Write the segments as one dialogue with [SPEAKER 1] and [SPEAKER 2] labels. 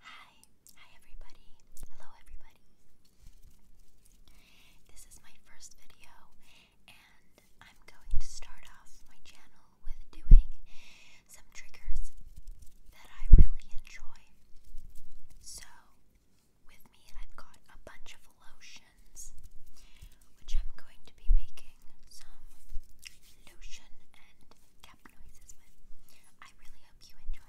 [SPEAKER 1] Hi, hi everybody. Hello everybody. This is my first video and I'm going to start off my channel with doing some triggers that I really enjoy. So, with me I've got a bunch of lotions which I'm going to be making some lotion and cap noises I really hope you enjoy.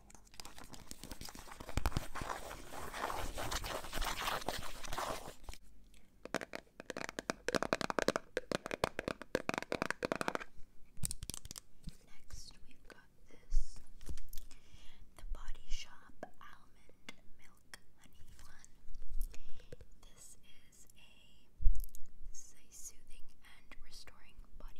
[SPEAKER 1] Next, we've got this the Body Shop Almond Milk Honey one. This is a, a soothing and restoring body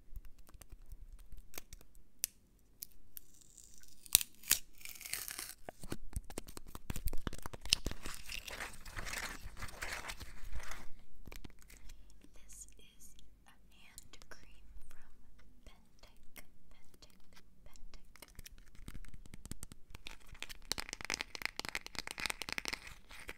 [SPEAKER 2] This is a hand cream from Pentek, Pentek, Pentek.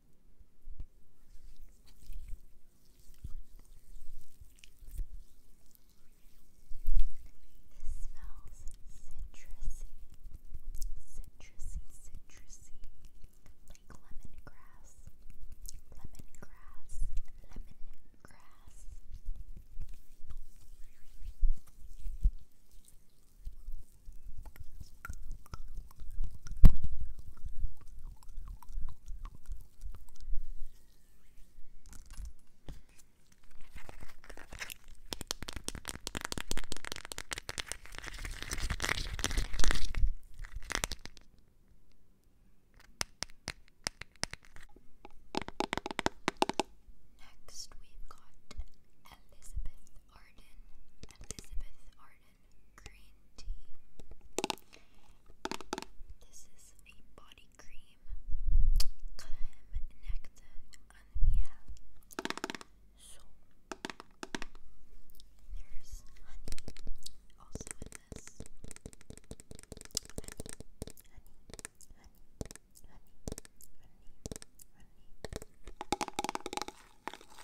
[SPEAKER 2] smells citrusy, citrusy, citrusy, like lemongrass, lemongrass, lemongrass. Lemon Next, we've Elizabeth Arden. Elizabeth Arden green tea. This is a body cream. Crème and miel. So there's honey also in this.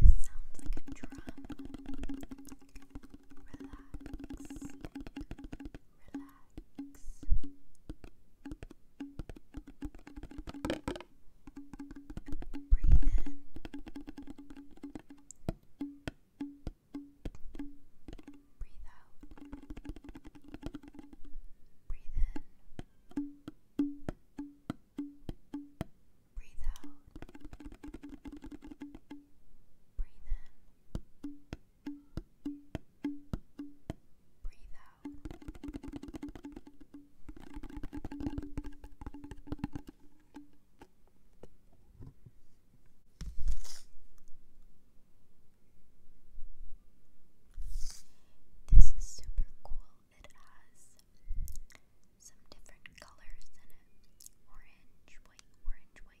[SPEAKER 2] This sounds like a drum. Relax. Relax. Breathe in. Breathe out. Breathe in. Breathe out. Breathe in. Breathe out. This is super cool it has some different colors in it orange, white, orange, white.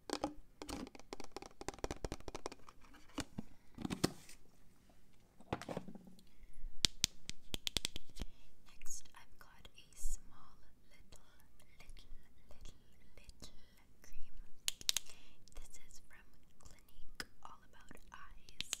[SPEAKER 1] Next, I've got a small little, little, little, little cream. This is from Clinique All About Eyes.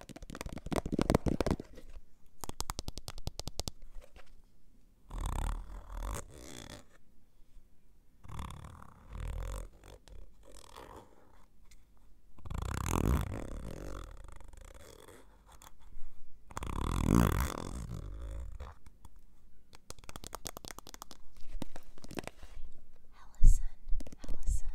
[SPEAKER 1] Allison, Allison, Allison,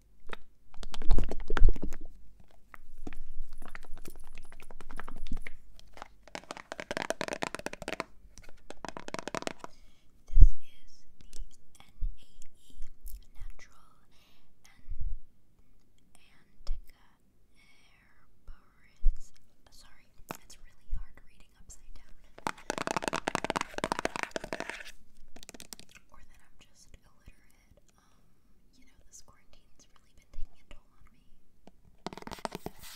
[SPEAKER 1] This is the NAE Natural Antica Herboris. Sorry, it's really hard reading upside down. Or that I'm just just illiterate. Um, you know, this quarantine's really been taking a toll on me.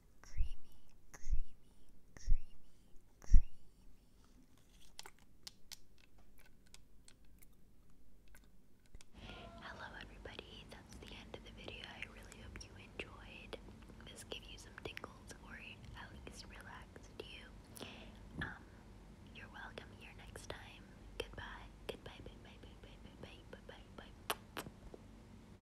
[SPEAKER 1] creamy, Hello, everybody. That's the end of the video. I really hope you enjoyed. This gave you some tingles, or at least relaxed you. Um, you're welcome here next time. Goodbye. Goodbye. Bye. Bye. Bye. Bye. Bye. Bye. Bye. Bye. bye.